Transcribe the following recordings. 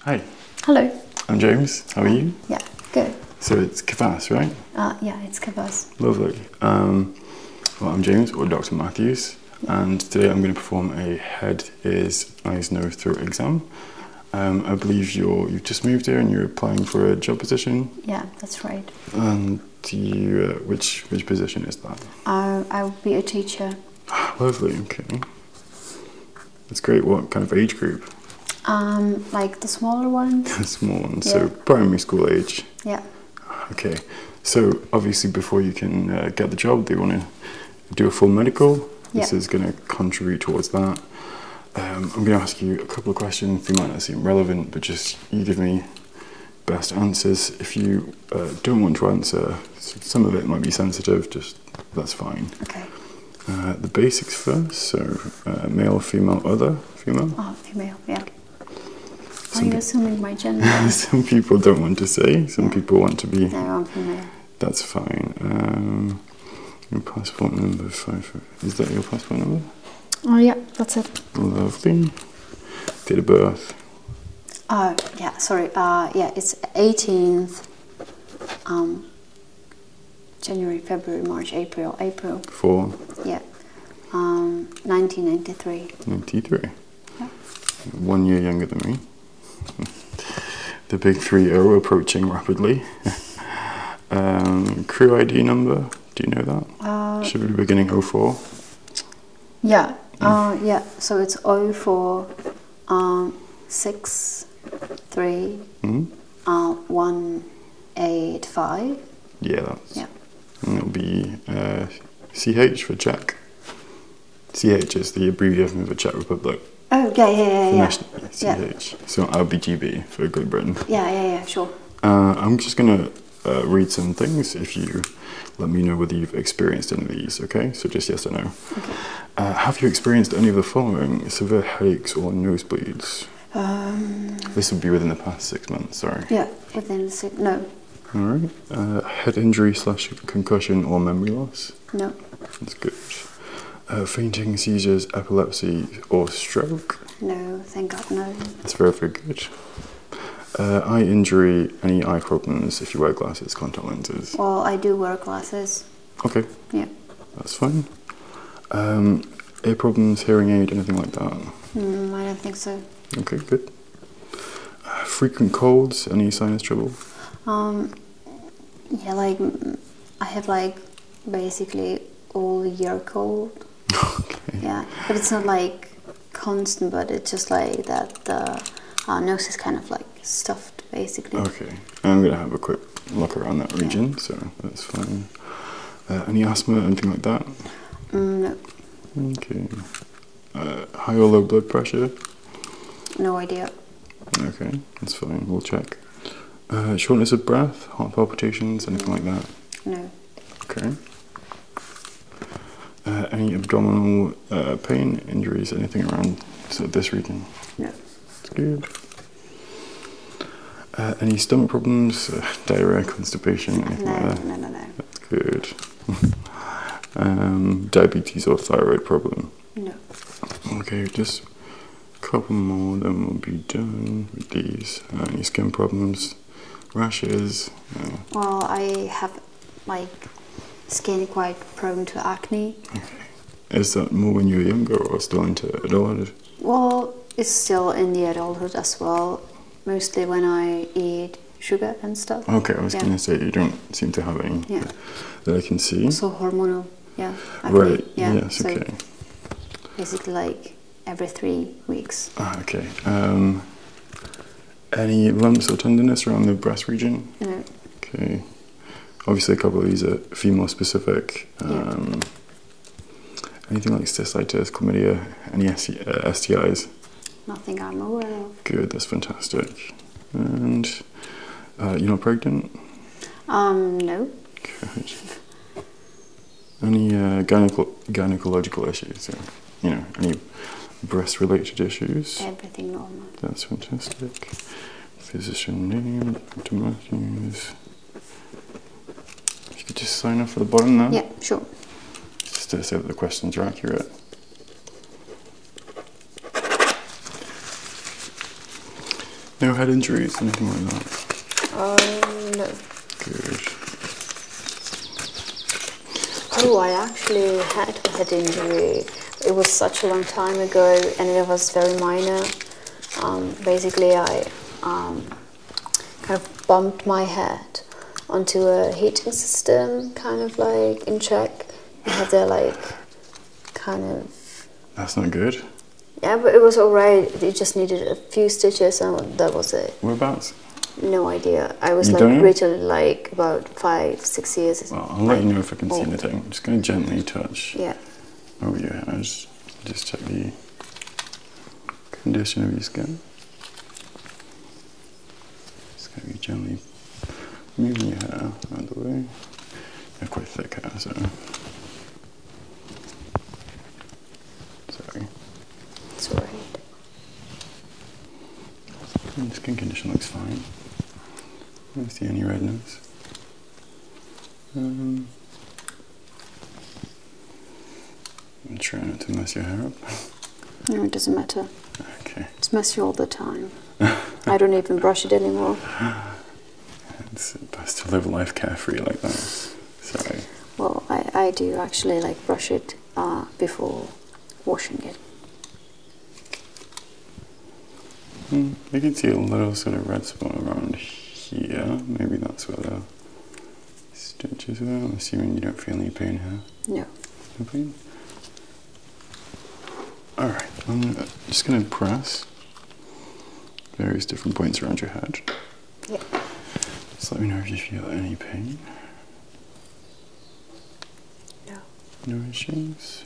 Hi. Hello. I'm James. How are you? Yeah, good. So it's Kavas, right? Uh, yeah, it's Kavas. Lovely. Um, well, I'm James, or Dr. Matthews, and today I'm going to perform a head, ears, eyes, nose, throat exam. Um, I believe you're, you've just moved here and you're applying for a job position. Yeah, that's right. And you, uh, which, which position is that? Uh, I will be a teacher. Lovely, okay. That's great. What kind of age group? Um, like the smaller ones. the small ones. So primary school age. Yeah. Okay. So obviously, before you can uh, get the job, they want to do a full medical. Yeah. This is going to contribute towards that. Um, I'm going to ask you a couple of questions. They might not seem relevant, but just you give me best answers. If you uh, don't want to answer, some of it might be sensitive. Just that's fine. Okay. Uh, the basics first, so uh, male, female, other, female? Oh, female, yeah. Some Are you assuming my gender? some people don't want to say, some people want to be. No, I'm female. That's fine. Um, your passport number five. Is that your passport number? Oh yeah, that's it. Lovely. Date of birth. Oh yeah, sorry. Uh, yeah, it's 18th um, January, February, March, April, April. Four. Yeah. 1993. Um, 93. One year younger than me. the big 3 0 approaching rapidly. Um, crew ID number, do you know that? Uh, Should be beginning 04. Yeah. Mm. Uh, yeah, so it's 04 um, six, three, mm-hmm. uh, one, eight, five. Yeah, Yeah. And it'll be uh, CH for Czech. CH is the abbreviation of the Czech Republic. Oh, yeah, yeah, yeah. For yeah. CH. Yeah. So LBGB for Great Britain. Yeah, yeah, yeah, sure. Uh, I'm just going to uh, read some things if you let me know whether you've experienced any of these, okay? So just yes or no. Okay. Uh, have you experienced any of the following severe headaches or nosebleeds? Um, this would be within the past six months, sorry. Yeah, within the six, no. All right. Uh, head injury slash concussion or memory loss? No. That's good. Uh, fainting, seizures, epilepsy or stroke? No, thank God, no. That's very, very good. eye injury, any eye problems if you wear glasses, contact lenses? Well, I do wear glasses. Okay. Yeah. That's fine. Um, ear problems, hearing aid, anything like that? Mm, I don't think so. Okay, good. Uh, frequent colds, any sinus trouble? Um, yeah, like I have like basically all year cold. Yeah, but it's not like constant, but it's just like that. The uh, uh, nose is kind of like stuffed basically. Okay, I'm gonna have a quick look around that region, so that's fine. Uh, any asthma, anything like that? Mm, no. Okay. Uh, high or low blood pressure? No idea. Okay, that's fine. We'll check. Uh, shortness of breath, heart palpitations, anything like that? No. Okay. any abdominal uh, pain, injuries, anything around this region. Yeah, it's good. Uh, any stomach problems, uh, diarrhea, constipation, anything no, like that? No, no, no. That's good. Um, diabetes or thyroid problem? No. Okay, just a couple more, then we'll be done with these. any skin problems, rashes? well, I have like skin quite prone to acne. Is that more when you were younger or still into adulthood? Well, it's still in the adulthood as well. Mostly when I eat sugar and stuff. Okay, I was gonna say you don't seem to have any yeah. that I can see. So hormonal, yeah. right. Yes. So okay. Basically, like every three weeks. Ah, okay. Um, any lumps or tenderness around the breast region? Okay. Obviously, a couple of these are female specific. Um, anything like cystitis, chlamydia, any STIs? Uh, Nothing I'm aware of. Good, that's fantastic. And uh, you're not pregnant? Um, no. Good. Any uh, gynecological issues? you know, any breast related issues? Everything normal. That's fantastic. Physician name, Dr. Matthews. If you could just sign off for the bottom there? Yeah, sure. Just to say that the questions are accurate. No head injuries, anything like that? Um, no. Good. Oh, I actually had a head injury. It was such a long time ago and it was very minor. Um, basically, I um, kind of bumped my head onto a heating system, kind of like in check. And had their like kind of. That's not good. Yeah, but it was alright. It just needed a few stitches and that was it. Whereabouts? No idea. I was you like Rachel, like about five, six years. Well, I'll let you know if I can see oh. anything. i just going to gently touch yeah. over your hair. Just check the condition of your skin. Just going to be gently moving your hair out of the way. You have quite thick hair, so. Sorry. It's alright. Hmm, the skin condition looks fine. I don't see any redness. Um, I'm trying not to mess your hair up. No, it doesn't matter. Okay. It's messy all the time. I don't even brush it anymore. It's best to live life carefree like that. Sorry. Well, I, I do actually like brush it uh, before washing it. Hmm, I can see a little sort of red spot around here. Maybe that's where the stitches are. I'm assuming you don't feel any pain here. No. No pain? Alright, I'm just going to press various different points around your head. Yeah. let me know if you feel any pain. No. No issues.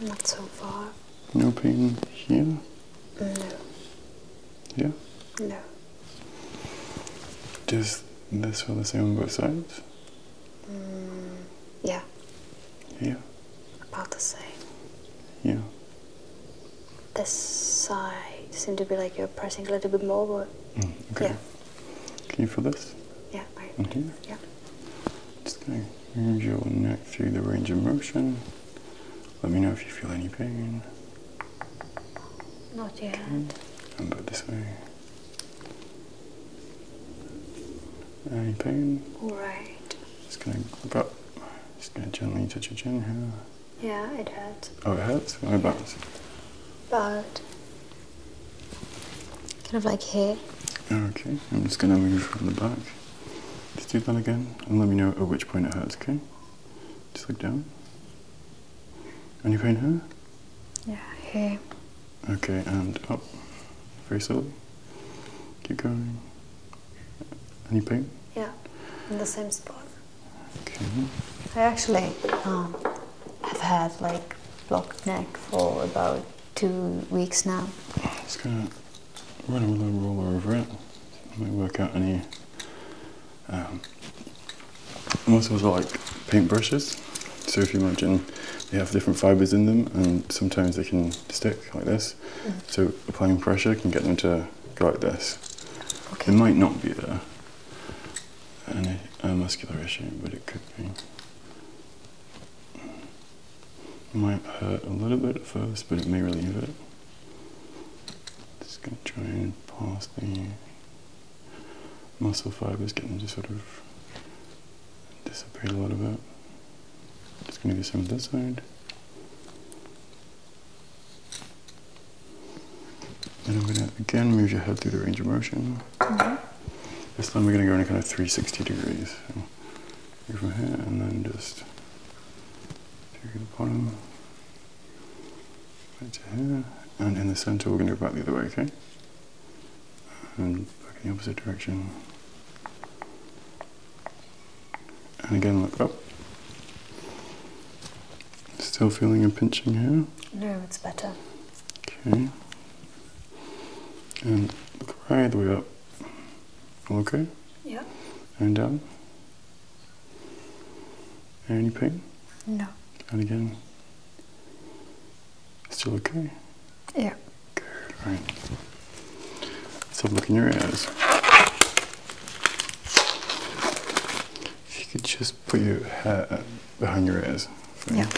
Not so far. No pain here? No. Yeah? No. Does this feel the same on both sides? Mm, yeah. Yeah. About the same. Yeah. This side seemed to be like you're pressing a little bit more, but mm, yeah. Can for this? Yeah, right. Okay. Yeah. Just gonna move your neck through the range of motion. Let me know if you feel any pain. Not yet. Okay. And about this way. Any pain? Alright. Just gonna look up. Just gonna gently touch your chin here. Yeah, it hurts. Oh, it hurts? What about? But Kind of like here. Okay, I'm just going to move from the back. Just do that again and let me know at which point it hurts, okay? Just look down. Any pain here? Yeah, here. Okay, and up. Very slowly. Keep going. Any pain? Yeah, in the same spot. I actually um, have had like blocked neck for about two weeks now. I'm just gonna run a little roller over it. It might work out any. Um, most of those are like paintbrushes. So if you imagine they have different fibres in them and sometimes they can stick like this. Mm-hmm. So applying pressure can get them to go like this. It might not be there an, a muscular issue, but it could be. might hurt a little bit at first, but it may relieve it. Just gonna try and pass the muscle fibers, getting them to sort of dissipate a little bit. Just gonna do some of this side. And I'm gonna again move your head through the range of motion. Mm-hmm. This time we're gonna go in a kind of 360 degrees. So from here and then just to the bottom, right here, and in the center we're gonna go back the other way, okay? And back in the opposite direction. And again like up. Still feeling a pinching here? No, it's better. Okay. And look right the way up. okay? Yeah. And down? Any pain? No. And again? Still okay? Yeah. Good, right. Let's have a look in your eyes. If you could just put your hat uh, behind your ears. Yeah.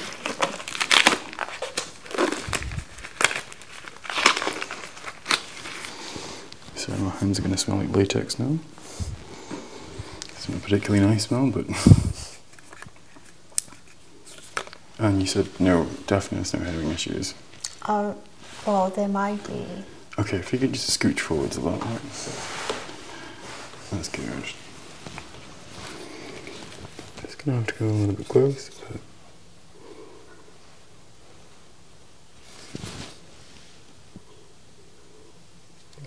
So my hands are going to smell like latex now. It's not a particularly nice smell, but. and you said no deafness, no hearing issues. Um, well, there might be. Okay, if you could just scooch forwards a lot. That's good. Just gonna have to go a little bit close, but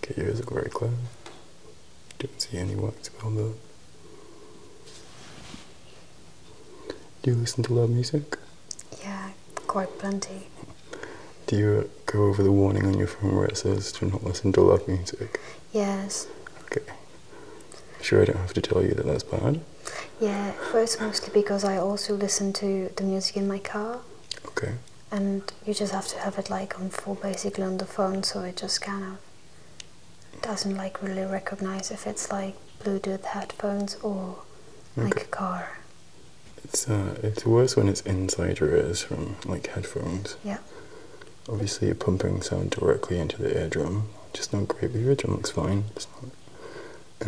okay, yours look very clear. Don't see anyone wax well done. Do you listen to loud music? Yeah, quite plenty. Do you go over the warning on your phone where it says do not listen to loud music? Yes. Okay. Sure, I don't have to tell you that that's bad? Yeah, well, it's mostly because I also listen to the music in my car. Okay. And you just have to have it like on full basically on the phone so it just kind of doesn't like really recognize if it's like Bluetooth headphones or like a car. It's uh, it's worse when it's inside your ears from like headphones. Yeah. Obviously, you're pumping sound directly into the eardrum. Just not great, but your eardrum looks fine. It's not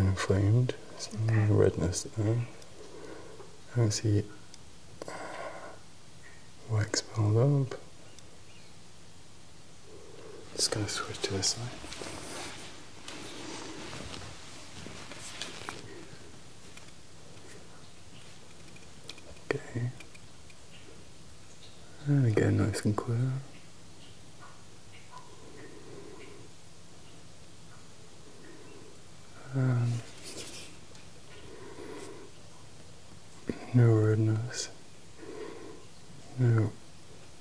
inflamed. There's okay. no redness I don't see uh, wax build up. Just gonna switch to this side. Okay. And again, nice and clear. Um, no redness. No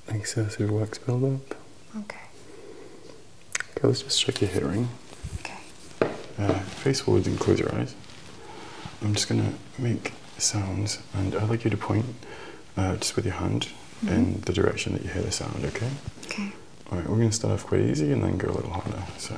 excessive wax buildup. Okay. Okay, let's just check your hearing. Okay. Uh, face forwards and close your eyes. I'm just gonna make sounds, and I'd like you to point uh, just with your hand mm-hmm. in the direction that you hear the sound. Okay. Okay. All right. We're gonna start off quite easy and then go a little harder. So.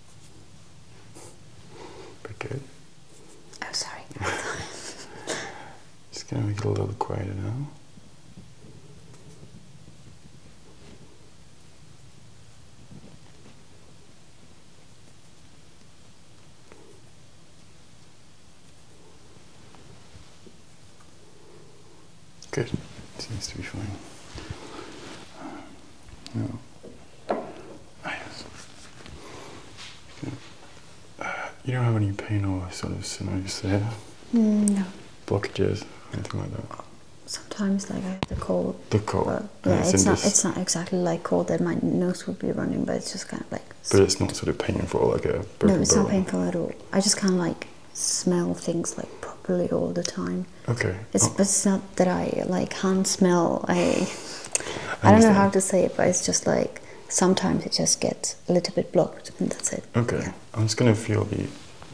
Pretty good. Oh, sorry. Just gonna make it a little quieter now. Good. Seems to be fine. No. Nice. you don't have any pain or sort of stenosis there? Mm, no. Blockages, anything like that? Sometimes, like I had the cold. The cold. yeah, it's, it's not. It's not exactly like cold that my nose would be running, but it's just kind of like. But it's not sort of painful, like a. No, it's not painful at all. I just kind of like smell things like properly all the time. Okay. It's, oh. it's not that I like can't smell. I I, don't know how to say it, but it's just like sometimes it just gets a little bit blocked, and that's it. Okay. I'm just gonna feel the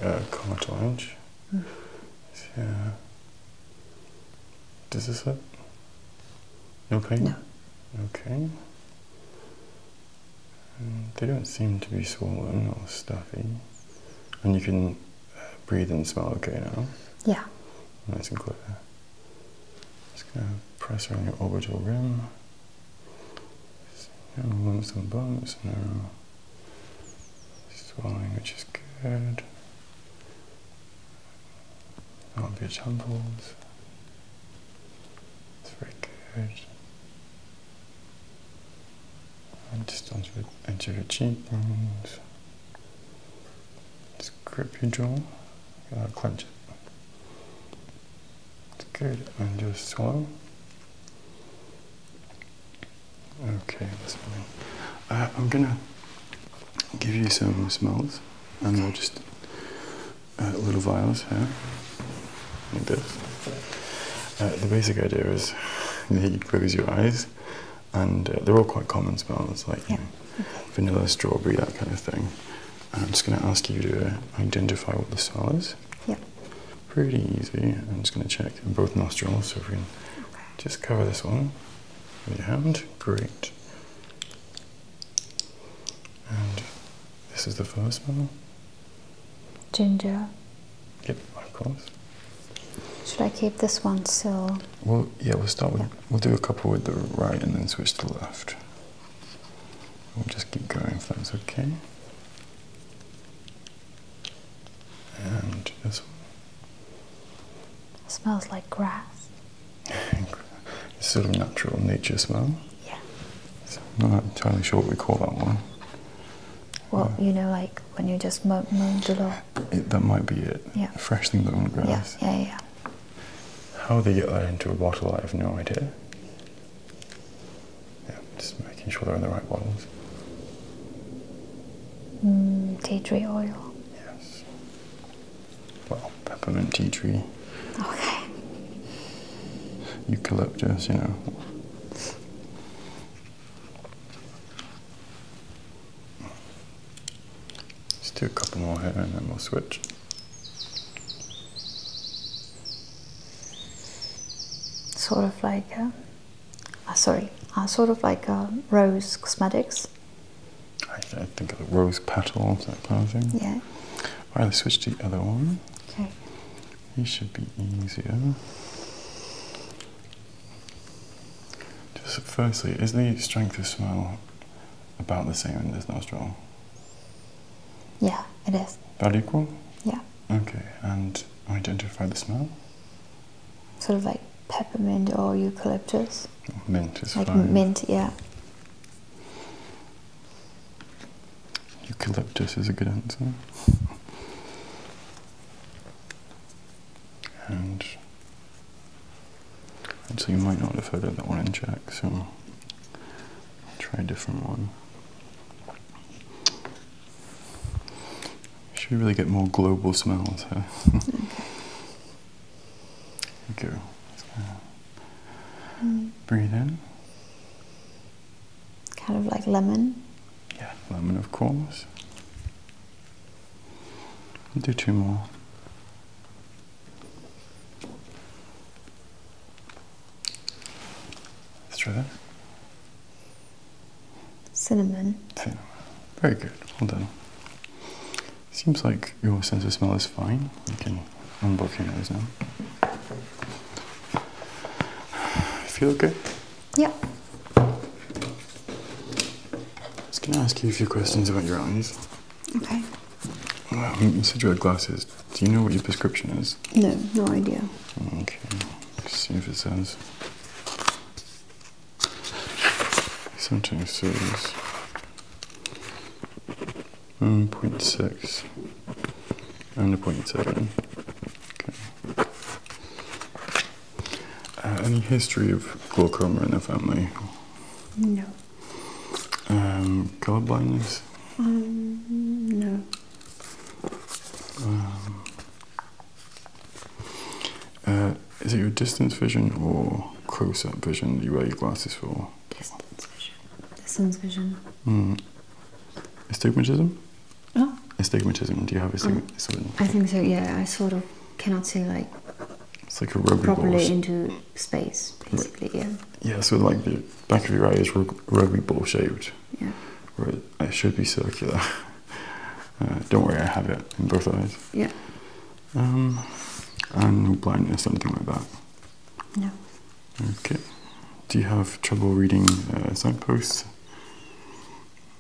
uh, cartilage. Mm. Yeah. Uh, this hurt? it. No pain. No. Okay. Um, they don't seem to be swollen or stuffy, and you can breathe and smell okay now? Yeah. Nice and clear. Just gonna press around your orbital rim. No lumps and bumps, no swelling, which is good. No obvious temples. It's very good distance with edge of your cheekbones. Just grip your jaw Clench it. It's good. And just swallow. Okay, that's fine. Uh, I'm gonna give you some smells, and we'll just uh, little vials here, like this. Uh, the basic idea is you close your eyes and uh, they're all quite common smells like vanilla, strawberry, that kind of thing. I'm just going to ask you to identify what the smell is. Yeah. Pretty easy. I'm just going to check both nostrils. So if we can just cover this one with your hand, great. And this is the first smell. Ginger. Yep, of course. Should I keep this one still? Well, yeah, we'll start with, we'll do a couple with the right and then switch to the left. We'll just keep going if that's okay. And this one. smells like grass. it's sort of natural nature smell. Yeah. I'm not entirely sure what we call that one. Well, uh, you know, like when you just mow, the lawn that might be it. Yeah. Fresh thing that on grass. Yeah, yeah, yeah. How do they get that into a bottle, I have no idea. Yeah, just making sure they're in the right bottles. Mm, tea tree oil. Yes. Well, peppermint tea tree. Okay. Eucalyptus, you know. Let's do a couple more here and then we'll switch. Sort of like uh, a, ah, sorry, ah, sort of like a uh, rose cosmetics. I, think of a rose petal, that kind of thing. Yeah. All right, let's switch to the other one. Okay. These should be easier firstly, is the strength of smell about the same in this nostril? Yeah, it is. About equal? Yeah. Okay, and identify the smell? Sort of like peppermint or eucalyptus. mint is like mint, yeah. Eucalyptus is a good answer. and so you might not have heard that one in Jack, so try a different one. Should really get more global smells, Here go. Uh, mm. Breathe in. Kind of like lemon. Yeah, lemon, of course. do two more. Let's try that. Cinnamon. Cinnamon. Very good. Hold on. Seems like your sense of smell is fine. You can unblock your nose now. feel good. Yeah. I was going to ask you a few questions about your eyes. Okay. Um, you said you had glasses. Do you know what your prescription is? No, no idea. Okay. Let's see if it says. Sometimes says 1.6 and a point seven. Okay. Uh, any history of glaucoma in the family? No. Um, color blindness? Mm, no. Um, uh, is it your distance vision or close-up vision that you wear your glasses for? Distance vision. Distance vision. Mm. Astigmatism? Oh. Astigmatism. Do you have astigmatism? Um, I think so. Yeah, I sort of cannot see like. It's like a rugby properly into space, Yeah. Yeah. So like the back of your eye is rugby ball shaped. Yeah. Where it should be circular. Uh, don't worry, I have it in both eyes. Yeah. Um, and no blindness, something like that. No. Okay. Do you have trouble reading uh, signposts?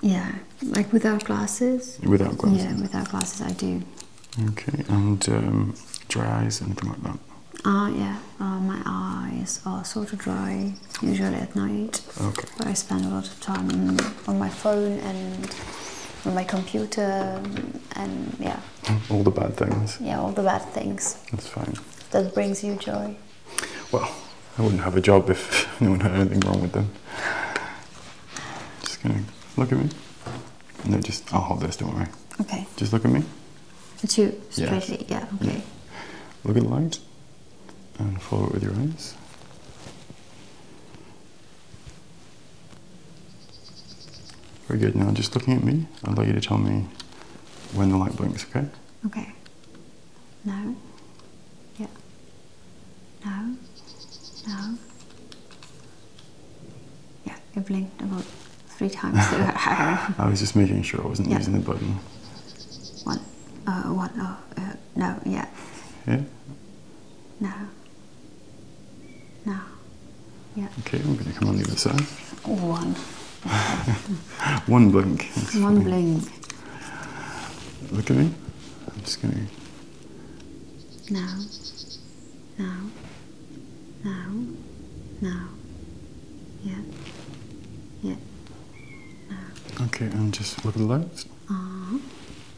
Yeah, like without glasses. Without glasses. Yeah, without glasses, I do. Okay, and um, dry eyes, anything like that. Ah, yeah. Uh, my eyes are sort of dry usually at night. Okay. But I spend a lot of time on my phone and on my computer and yeah. All the bad things. Yeah, all the bad things. That's fine. That brings you joy. Well, I wouldn't have a job if anyone had anything wrong with them. Just gonna look at me. No, just I'll hold this. Don't worry. Okay. Just look at me. At you straight. Yeah. Okay. Yeah. Look at the light and follow it with your eyes. Very good. Now, just looking at me, I'd like you to tell me when the light blinks. Okay. Okay. No. Yeah. No. No. Yeah, you blinked about three times. I was just making sure I wasn't using the button. One. Uh, one. Uh, uh, no. Yeah. Yeah. No. No. Yeah. Okay, I'm going to come on the other side. One. one blink. one blink. Look at me. I'm just gonna. Now. Now. Now. Now. Yeah. Yeah. Now. Okay, and just look at the lights. Uh -huh.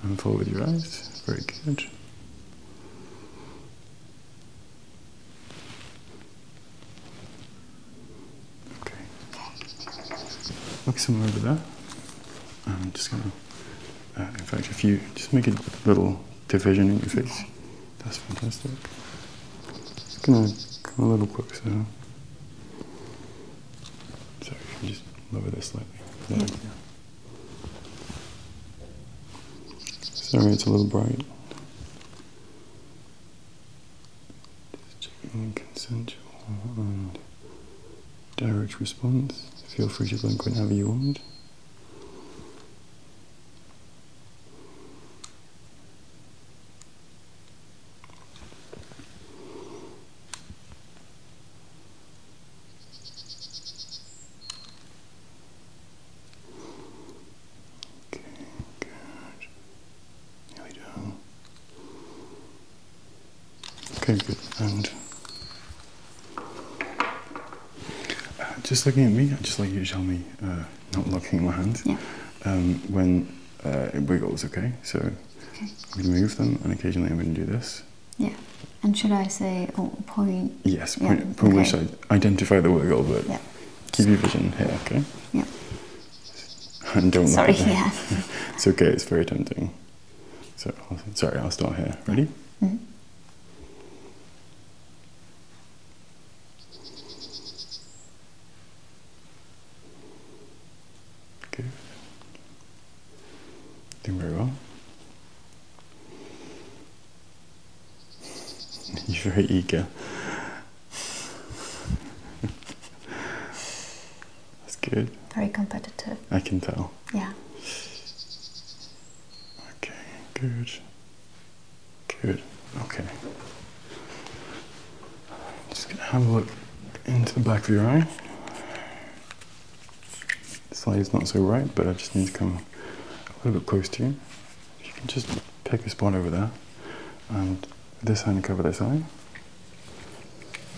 And forward your eyes. Very good. Okay. Looks similar to that. I'm just gonna. Uh, in fact, if you just make a little division in your face, that's fantastic. Just gonna come a little closer. So, so you just lower this slightly. Sorry, it's a little bright just checking consensual and direct response. Feel free to blink whenever you want. Okay, good. Okay, good. And uh, just looking at me, i just like you show me uh, not locking my hands yeah. Um, when uh, it wiggles, okay? So we move them, and occasionally I'm going to do this. Yeah. And should I say oh, point? Yes, point, which I identify the wiggle, but give you vision here, okay? Yeah. Don't Sorry, yeah. it's okay, it's very tempting. So, sorry, I'll start here. Ready? Mm Doing very well. He's very eager. That's good. Very competitive. I can tell. Yeah. Okay, good. Good. Okay. Just gonna have a look into the back of your eye. The slide is not so right, but I just need to come a little bit close to you. you can just pick a spot over there and this hand and cover this hand.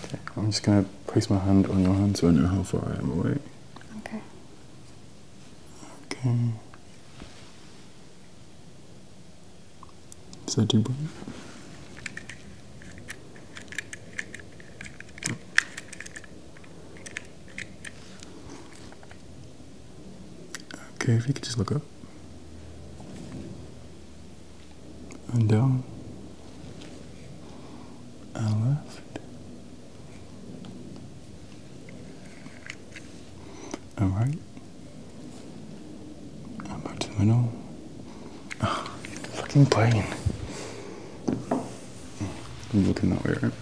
Okay, I'm just going to place my hand on your hand so I know how far I am away. Okay. Okay. Is that Okay, if you could just look up. Um, i and down and left and right and back to the Oh, fucking plane! I'm looking that way, right?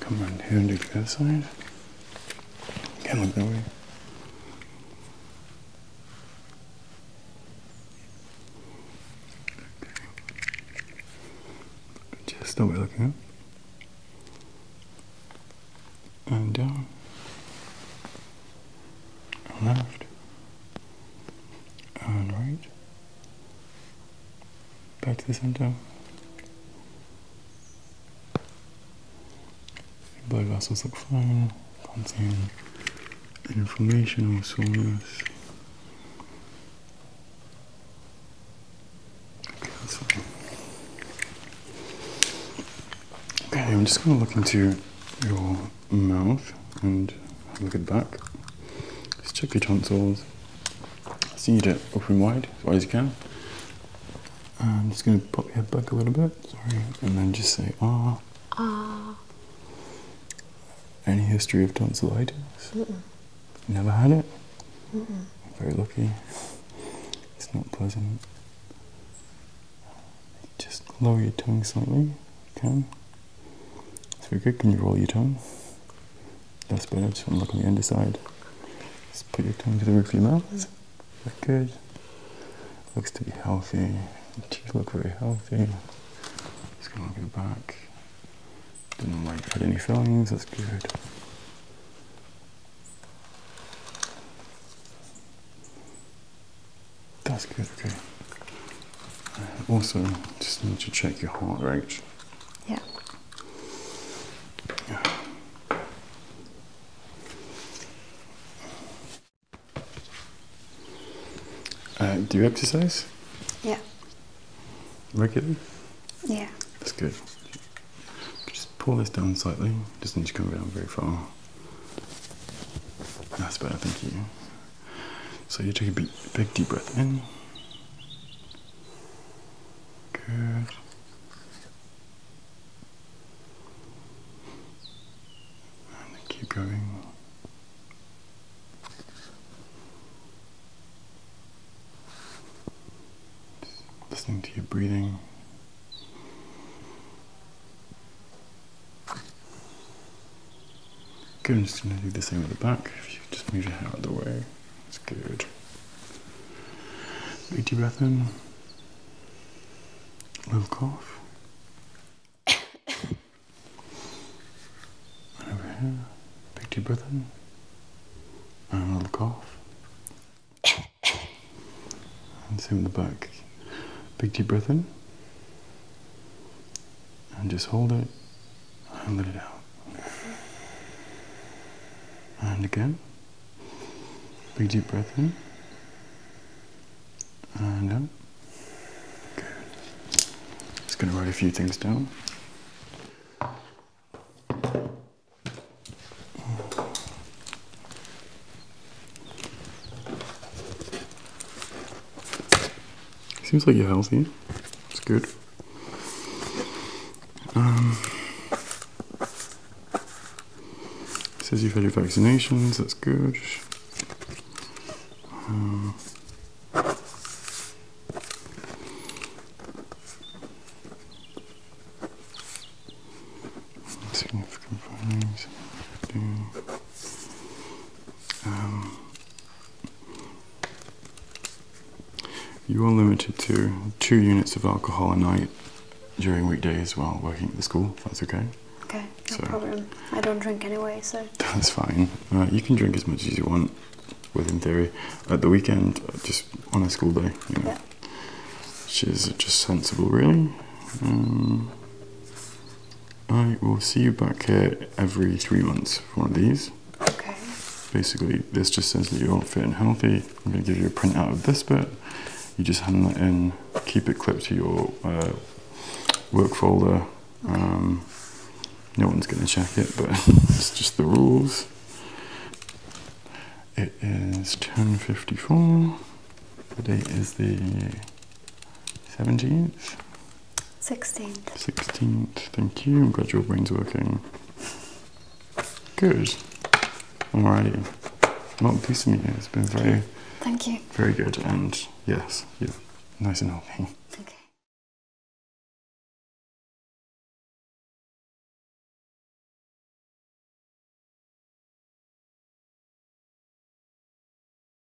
Come on, here and do the other side. You can look that way. Just away looking up. And down. left. And right back to the center. Blood vessels look fine, contain inflammation or soreness. Okay, I'm just going to look into your mouth and look at the back. Just check your tonsils. Seed it open wide as wide as you can. I'm just going to pop your head back a little bit, sorry, and then just say ah. Ah. Any history of tonsillitis? Never had it? Mm -mm. Very lucky. It's not pleasant. Just lower your tongue slightly, okay? It's very good. Can you roll your tongue? Yes, bird. And look on the underside. Just put your tongue to the roof of your mouth. Look good. Looks to be healthy. teeth look very healthy. Just gonna look back. did not know had any fillings. That's good. That's good, okay. Uh, also, just need to check your heart rate. Yeah. Uh, do you exercise? Yeah. Regularly? Yeah. That's good. Just pull this down slightly. Doesn't need to come down very far. That's better, thank you. So you take a big deep breath in. Good. keep going. listening to your breathing. Good, I'm just going to do the same at the back. If you just move your hair out of the way, it's good. Big deep breath in. little cough. over here, big deep breath in. And a little cough. same at the back. Big deep breath in. And just hold it. And let it out. And again. Big deep breath in. And out. Good. Just going to write a few things down. Seems like you're healthy. It's good. Um, says you've had your vaccinations, that's good. Um, significant findings. Um, you are limited to two units of alcohol a night during weekdays while working at the school, that's okay. Okay, so, I don't drink anyway, so. That's fine. you can drink as much as you want, within theory, at the weekend, uh, just on a school day, Yeah. Which is just sensible, really. Um, I will see you back here every three months for these. Okay. Basically, this just says that you're fit and healthy. I'm going to give you a printout of this bit. You just hand that in, keep it clipped to your uh, work folder. Um, no one's going to check it, but it's just the rules. It is 10.54. The date is the 17th. Sixteen. 16th, thank you. I'm glad your brain's working. Good. Alrighty. Well, pleased to meet you. It's been very. Thank you. Very good. And yes, you nice and healthy. Okay.